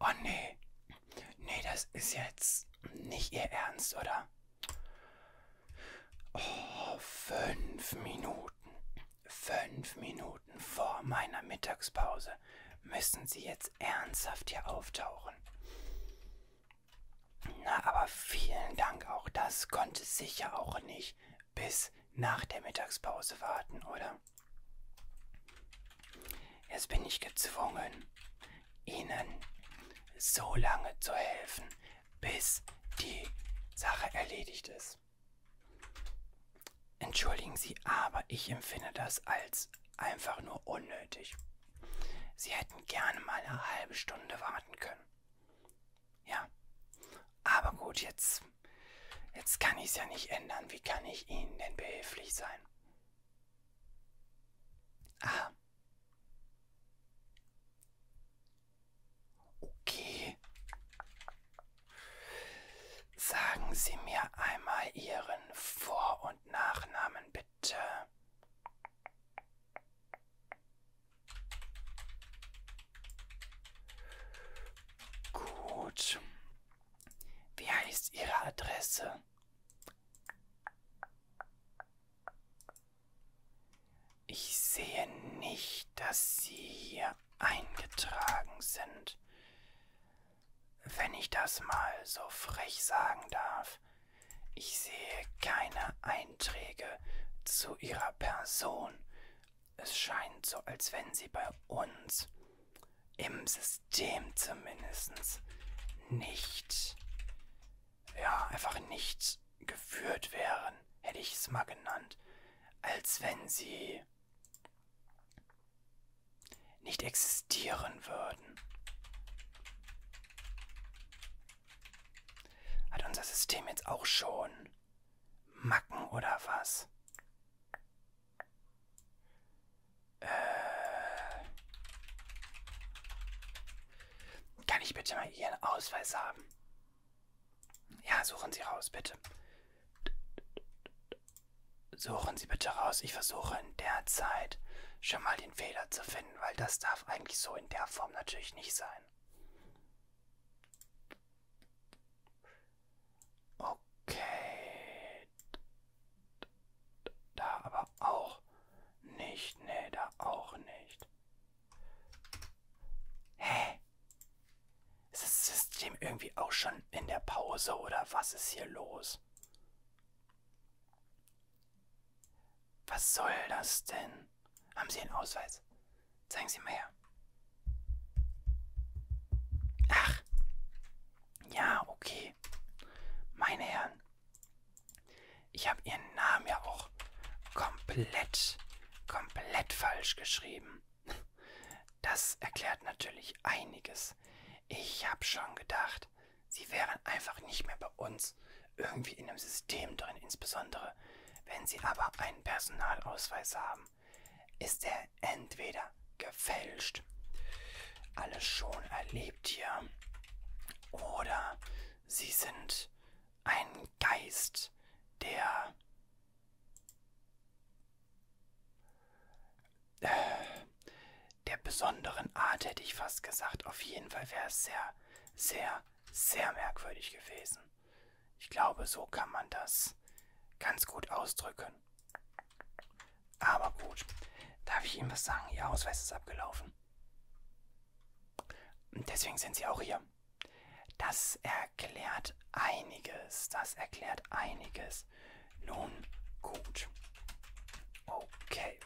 Oh nee. Nee, das ist jetzt nicht ihr Ernst, oder? Oh, fünf Minuten. Fünf Minuten vor meiner Mittagspause müssen sie jetzt ernsthaft hier auftauchen. Na, aber vielen Dank auch. Das konnte sicher auch nicht bis nach der Mittagspause warten, oder? Jetzt bin ich gezwungen, Ihnen so lange zu helfen, bis die Sache erledigt ist. Entschuldigen Sie, aber ich empfinde das als einfach nur unnötig. Sie hätten gerne mal eine halbe Stunde warten können. Ja, aber gut, jetzt, jetzt kann ich es ja nicht ändern. Wie kann ich Ihnen denn behilflich sein? Ah. Okay. Sagen Sie mir einmal Ihren Vor- und Nachnamen bitte. Gut. Wie heißt Ihre Adresse? Ich sehe nicht, dass Sie hier eingetragen sind. Wenn ich das mal so frech sagen darf, ich sehe keine Einträge zu Ihrer Person es scheint so, als wenn sie bei uns im System zumindest nicht, ja, einfach nicht geführt wären, hätte ich es mal genannt, als wenn sie nicht existieren würden. Hat unser System jetzt auch schon Macken oder was? Äh, kann ich bitte mal Ihren Ausweis haben? Ja, suchen Sie raus, bitte. Suchen Sie bitte raus. Ich versuche in der Zeit schon mal den Fehler zu finden, weil das darf eigentlich so in der Form natürlich nicht sein. Okay. Da aber auch nicht. Nee, da auch nicht. Hä? Ist das System irgendwie auch schon in der Pause oder was ist hier los? Was soll das denn? Haben Sie einen Ausweis? Zeigen Sie mal her. Ach. Ja, okay. Meine Herren. Ich habe ihren Namen ja auch komplett, komplett falsch geschrieben. Das erklärt natürlich einiges. Ich habe schon gedacht, sie wären einfach nicht mehr bei uns irgendwie in einem System drin, insbesondere wenn sie aber einen Personalausweis haben ist er entweder gefälscht, alles schon erlebt hier, oder sie sind ein Geist, der äh, der besonderen Art, hätte ich fast gesagt. Auf jeden Fall wäre es sehr, sehr, sehr merkwürdig gewesen. Ich glaube, so kann man das ganz gut ausdrücken sein. Aber gut. Darf ich Ihnen was sagen? Ihr Ausweis ist abgelaufen. Und deswegen sind Sie auch hier. Das erklärt einiges. Das erklärt einiges. Nun gut. Okay.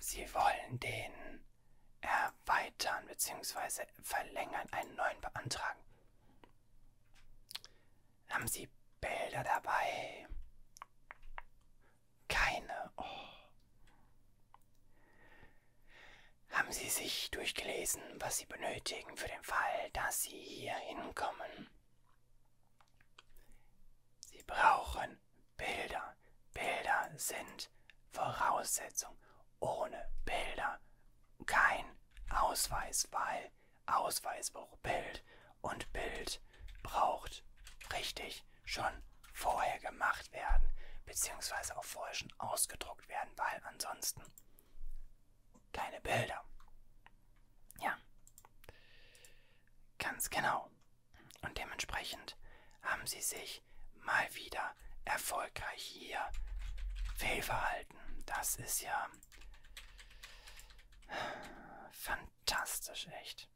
Sie wollen den erweitern bzw. verlängern, einen neuen beantragen. Haben Sie Bilder dabei? Keine. Oh. Haben Sie sich durchgelesen, was Sie benötigen für den Fall, dass Sie hier hinkommen? Sie brauchen Bilder. Bilder sind Voraussetzung. Ohne Bilder kein Ausweis, weil Ausweis braucht Bild und Bild braucht richtig schon vorher gemacht werden, beziehungsweise auch vorher schon ausgedruckt werden, weil ansonsten keine Bilder. Ja, ganz genau. Und dementsprechend haben sie sich mal wieder erfolgreich hier fehlverhalten. Das ist ja Fantastisch, echt.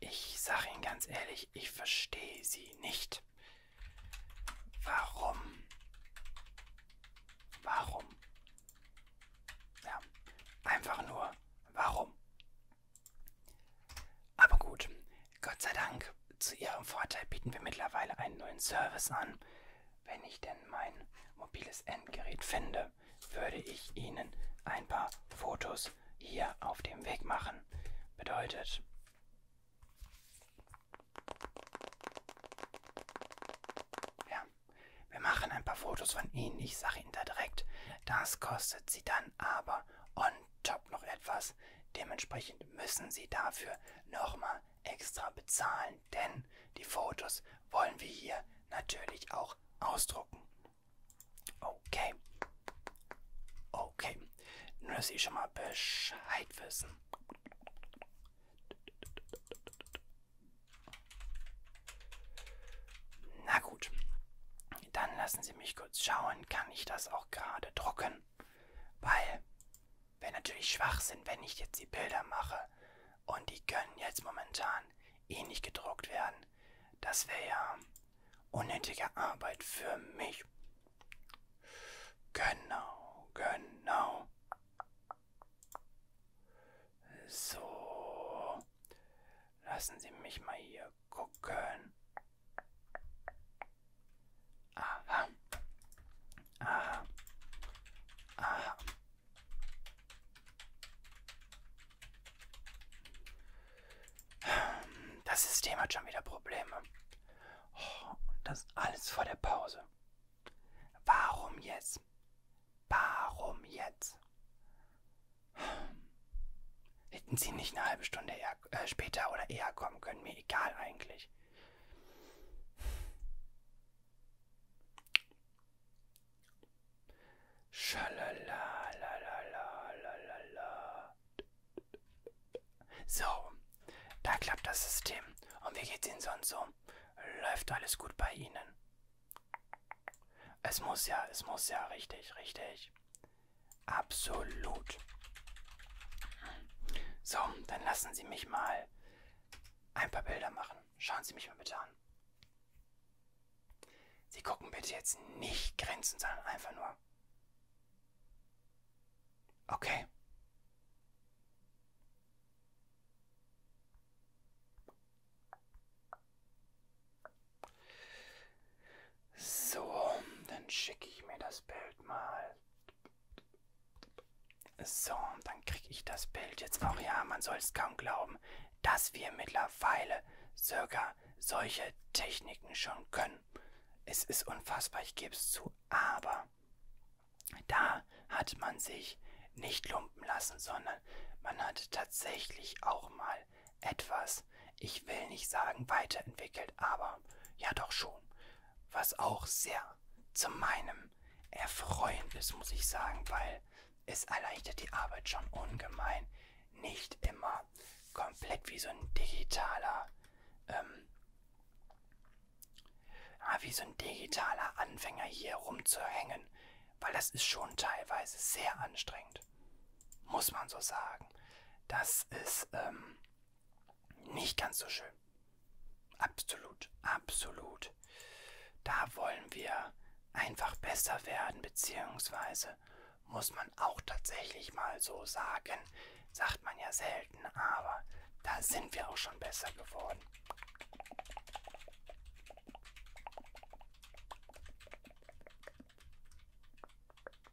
Ich sage Ihnen ganz ehrlich, ich verstehe Sie nicht. Warum? Warum? Ja, einfach nur, warum? Aber gut, Gott sei Dank, zu Ihrem Vorteil bieten wir mittlerweile einen neuen Service an. Wenn ich denn mein mobiles Endgerät finde, würde ich Ihnen ein paar Fotos hier auf dem Weg machen. Bedeutet, ja, wir machen ein paar Fotos von Ihnen. Ich sage Ihnen da direkt, das kostet Sie dann aber on top noch etwas. Dementsprechend müssen Sie dafür nochmal extra bezahlen, denn die Fotos wollen wir hier natürlich auch ausdrucken. Okay. Okay. Nur, dass Sie schon mal Bescheid wissen. Na gut, dann lassen Sie mich kurz schauen, kann ich das auch gerade drucken? Weil wäre natürlich Schwachsinn, wenn ich jetzt die Bilder mache und die können jetzt momentan eh nicht gedruckt werden. Das wäre ja unnötige Arbeit für mich. Genau, genau. So, lassen Sie mich mal hier gucken. Aha. Aha. Aha. Das System hat schon wieder Probleme. Oh, und das alles vor der Pause. Warum jetzt? Warum jetzt? Hätten sie nicht eine halbe Stunde eher, äh, später oder eher kommen können, mir egal eigentlich. So, da klappt das System. Und wie geht's Ihnen sonst so? Läuft alles gut bei Ihnen? Es muss ja, es muss ja, richtig, richtig. Absolut. So, dann lassen Sie mich mal ein paar Bilder machen. Schauen Sie mich mal bitte an. Sie gucken bitte jetzt nicht Grenzen, sondern einfach nur. Okay. So, dann schicke ich mir das Bild mal. So, dann kriege ich das Bild jetzt auch. Ja, man soll es kaum glauben, dass wir mittlerweile circa solche Techniken schon können. Es ist unfassbar, ich gebe es zu, aber da hat man sich nicht lumpen lassen, sondern man hat tatsächlich auch mal etwas, ich will nicht sagen weiterentwickelt, aber ja doch schon, was auch sehr zu meinem Erfreuen ist, muss ich sagen, weil es erleichtert die Arbeit schon ungemein. Nicht immer komplett wie so ein digitaler, ähm, wie so ein digitaler Anfänger hier rumzuhängen, weil das ist schon teilweise sehr anstrengend, muss man so sagen. Das ist, ähm, nicht ganz so schön. Absolut, absolut. Da wollen wir einfach besser werden, beziehungsweise muss man auch tatsächlich mal so sagen, sagt man ja selten, aber da sind wir auch schon besser geworden.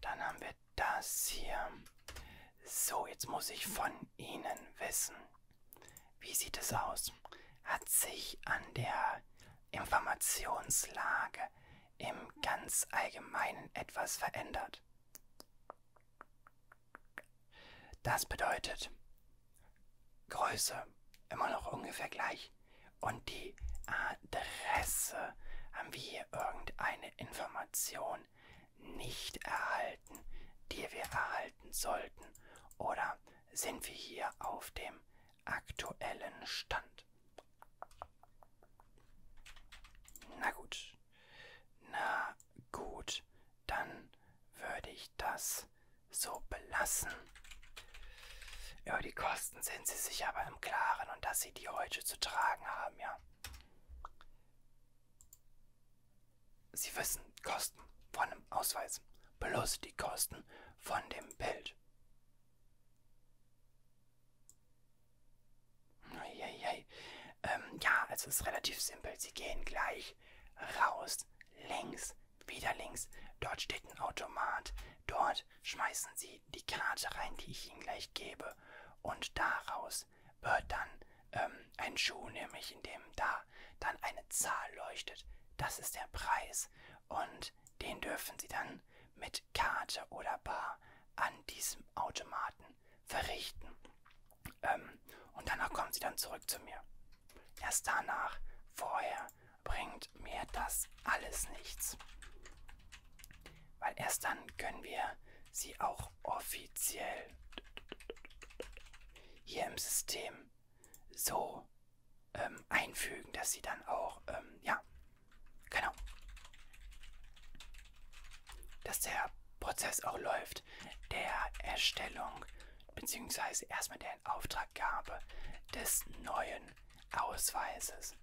Dann haben wir das hier. So, jetzt muss ich von Ihnen wissen. Wie sieht es aus? Hat sich an der Informationslage im ganz Allgemeinen etwas verändert? Das bedeutet Größe immer noch ungefähr gleich und die Adresse. Haben wir hier irgendeine Information nicht erhalten, die wir erhalten sollten? Oder sind wir hier auf dem aktuellen Stand? Na gut. Na gut, dann würde ich das so belassen. Über die Kosten sind sie sich aber im Klaren und dass sie die heute zu tragen haben, ja. Sie wissen Kosten von dem Ausweis plus die Kosten von dem Bild. Ähm, ja, also es ist relativ simpel. Sie gehen gleich raus, links, wieder links. Dort steht ein Automat. Dort schmeißen Sie die Karte rein, die ich Ihnen gleich gebe. Und daraus wird dann ähm, ein Schuh, nämlich in dem da dann eine Zahl leuchtet. Das ist der Preis. Und den dürfen Sie dann mit Karte oder Bar an diesem Automaten verrichten. Ähm, und danach kommen Sie dann zurück zu mir. Erst danach, vorher bringt mir das alles nichts. Weil erst dann können wir sie auch offiziell hier im System so ähm, einfügen, dass sie dann auch, ähm, ja, genau, dass der Prozess auch läuft, der Erstellung beziehungsweise erstmal der Auftraggabe des neuen Ausweises.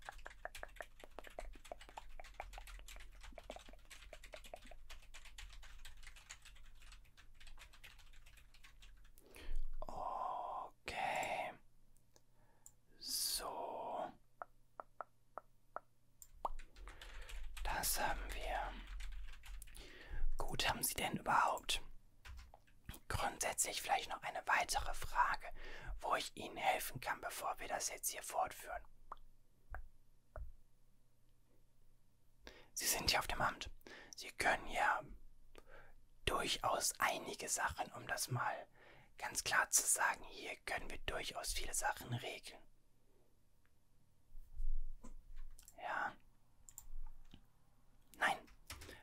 Okay. So. Das haben wir. Gut, haben Sie denn überhaupt Grundsätzlich vielleicht noch eine weitere Frage, wo ich Ihnen helfen kann, bevor wir das jetzt hier fortführen. Sie sind ja auf dem Amt. Sie können ja durchaus einige Sachen, um das mal ganz klar zu sagen, hier können wir durchaus viele Sachen regeln. Ja. Nein,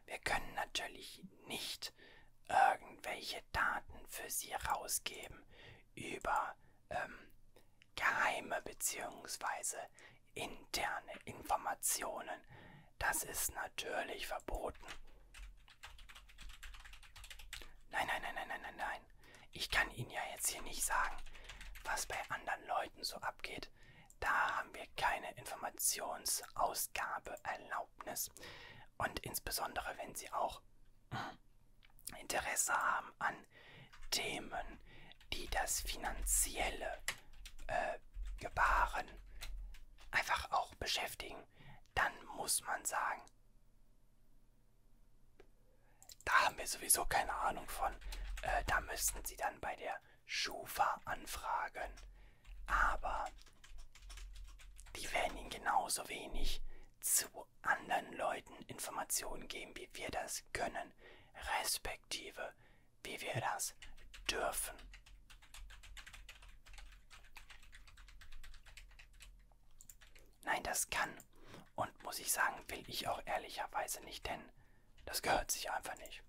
wir können natürlich nicht irgendwelche Daten für Sie rausgeben über ähm, geheime bzw. interne Informationen. Das ist natürlich verboten. Nein, nein, nein, nein, nein, nein, nein. Ich kann Ihnen ja jetzt hier nicht sagen, was bei anderen Leuten so abgeht. Da haben wir keine Informationsausgabe erlaubt. Erlaubnis. Und insbesondere, wenn sie auch Interesse haben an Themen, die das finanzielle äh, Gebaren einfach auch beschäftigen, dann muss man sagen, da haben wir sowieso keine Ahnung von. Äh, da müssten Sie dann bei der Schufa anfragen aber die werden ihnen genauso wenig zu anderen Leuten Informationen geben, wie wir das können, respektive wie wir das dürfen. Nein, das kann und muss ich sagen, will ich auch ehrlicherweise nicht, denn das gehört sich einfach nicht.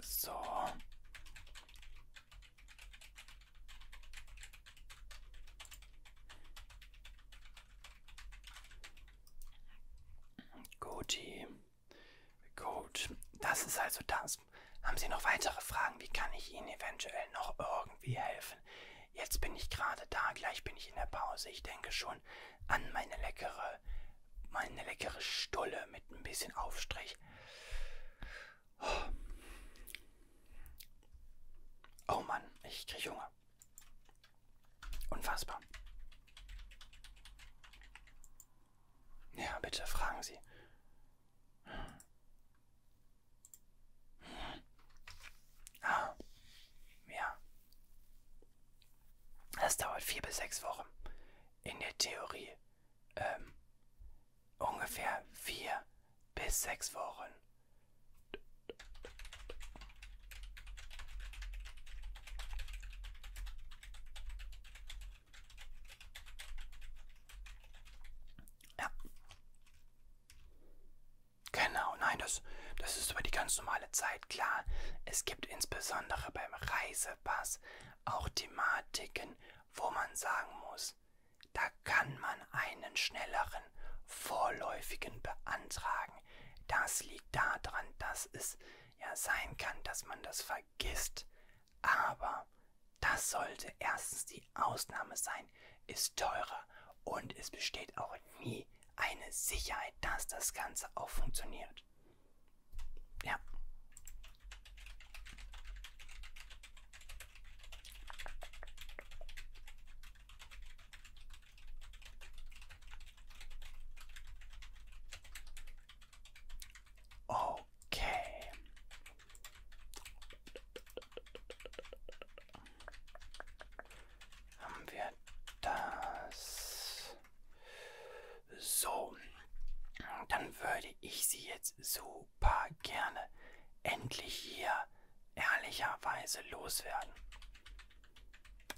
So. Guti. Gut. Das ist also das. Haben Sie noch weitere Fragen? Wie kann ich Ihnen eventuell noch irgendwie helfen? Jetzt bin ich gerade da, gleich bin ich in der Pause. Ich denke schon an meine leckere, meine leckere Stulle mit ein bisschen Aufstrich. Oh, oh Mann, ich krieg Hunger. Unfassbar. Ja, bitte fragen Sie. Ah, ja. Das dauert vier bis sechs Wochen. In der Theorie ähm, ungefähr vier bis sechs Wochen. Ja. Genau, nein, das, das ist über die ganz normale Zeit klar. Es gibt insbesondere beim Reisepass auch Thematiken, wo man sagen muss, da kann man einen schnelleren, vorläufigen beantragen. Das liegt daran, dass es ja sein kann, dass man das vergisst. Aber das sollte erstens die Ausnahme sein, ist teurer und es besteht auch nie eine Sicherheit, dass das Ganze auch funktioniert. Ja. Okay. Haben wir das? So, dann würde ich sie jetzt super gerne endlich hier ehrlicherweise loswerden.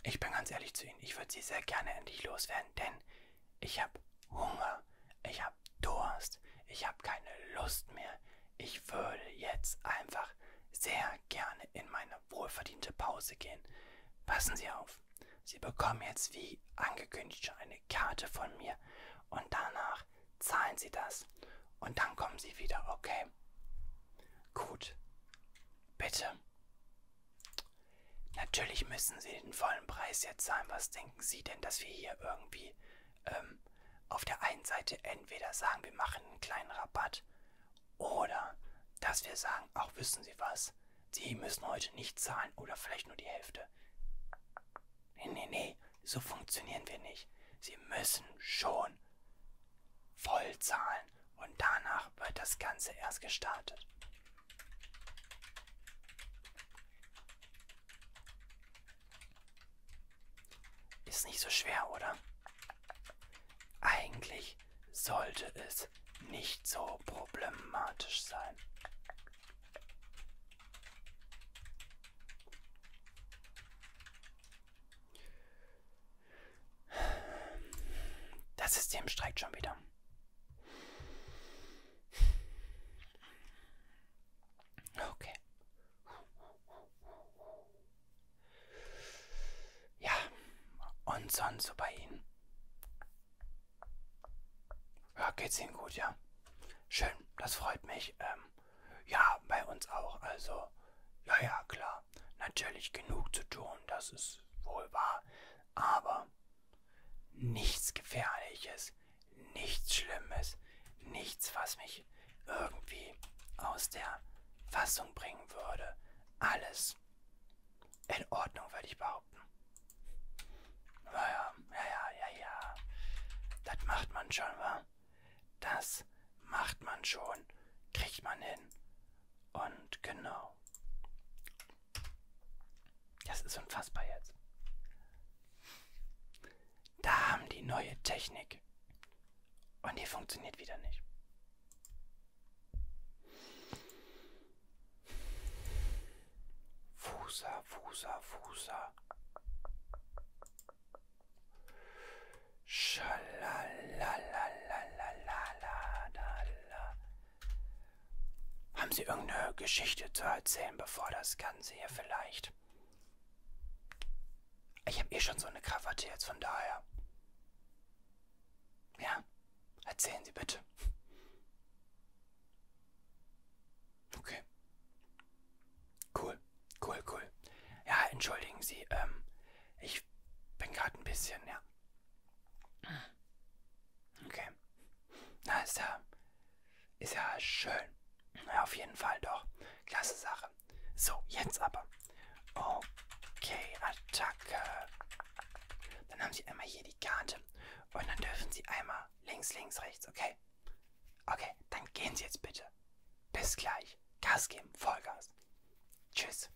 Ich bin ganz ehrlich zu Ihnen, ich würde sie sehr gerne endlich loswerden, denn ich habe Hunger, ich habe Durst, ich habe keine Lust mehr, ich würde jetzt einfach sehr gerne in meine wohlverdiente Pause gehen. Passen Sie auf. Sie bekommen jetzt wie angekündigt schon eine Karte von mir und danach zahlen Sie das und dann kommen Sie wieder, okay? Gut. Bitte. Natürlich müssen Sie den vollen Preis jetzt zahlen. Was denken Sie denn, dass wir hier irgendwie ähm, auf der einen Seite entweder sagen, wir machen einen kleinen Rabatt oder dass wir sagen, auch wissen Sie was, Sie müssen heute nicht zahlen oder vielleicht nur die Hälfte. Nee, nee, nee, so funktionieren wir nicht. Sie müssen schon voll zahlen und danach wird das Ganze erst gestartet. Ist nicht so schwer, oder? Eigentlich sollte es nicht so problematisch sein. Das System streikt schon wieder. Okay. Ja, und sonst so bei Ihnen. Ja, geht's Ihnen gut, ja? Schön, das freut mich. Ähm, ja, bei uns auch. Also, ja, ja, klar. Natürlich genug zu tun, das ist wohl wahr. Aber nichts Gefährliches, nichts Schlimmes, nichts, was mich irgendwie aus der Fassung bringen würde. Alles in Ordnung, würde ich behaupten. Naja, ja, ja, ja, ja. Das macht man schon, wa? Das macht man schon. Kriegt man hin. Und genau. Das ist unfassbar jetzt. Da haben die neue Technik Oh nee, funktioniert wieder nicht. Fusa, Fusa, Fusa. Haben Sie irgendeine Geschichte zu erzählen, bevor das Ganze hier vielleicht? Ich habe eh schon so eine Krawatte jetzt, von daher. Ja, erzählen Sie bitte. Okay. Cool, cool, cool. Ja, entschuldigen Sie, ähm, ich bin gerade ein bisschen, ja. Okay. Na, ist ja, ist ja schön. Ja, auf jeden Fall doch. Klasse Sache. Waffe. So, jetzt aber. Okay, Attacke. Dann haben sie einmal hier die Karte. Und dann dürfen sie einmal links, links, rechts, okay? Okay, dann gehen sie jetzt bitte. Bis gleich. Gas geben, Vollgas. Tschüss.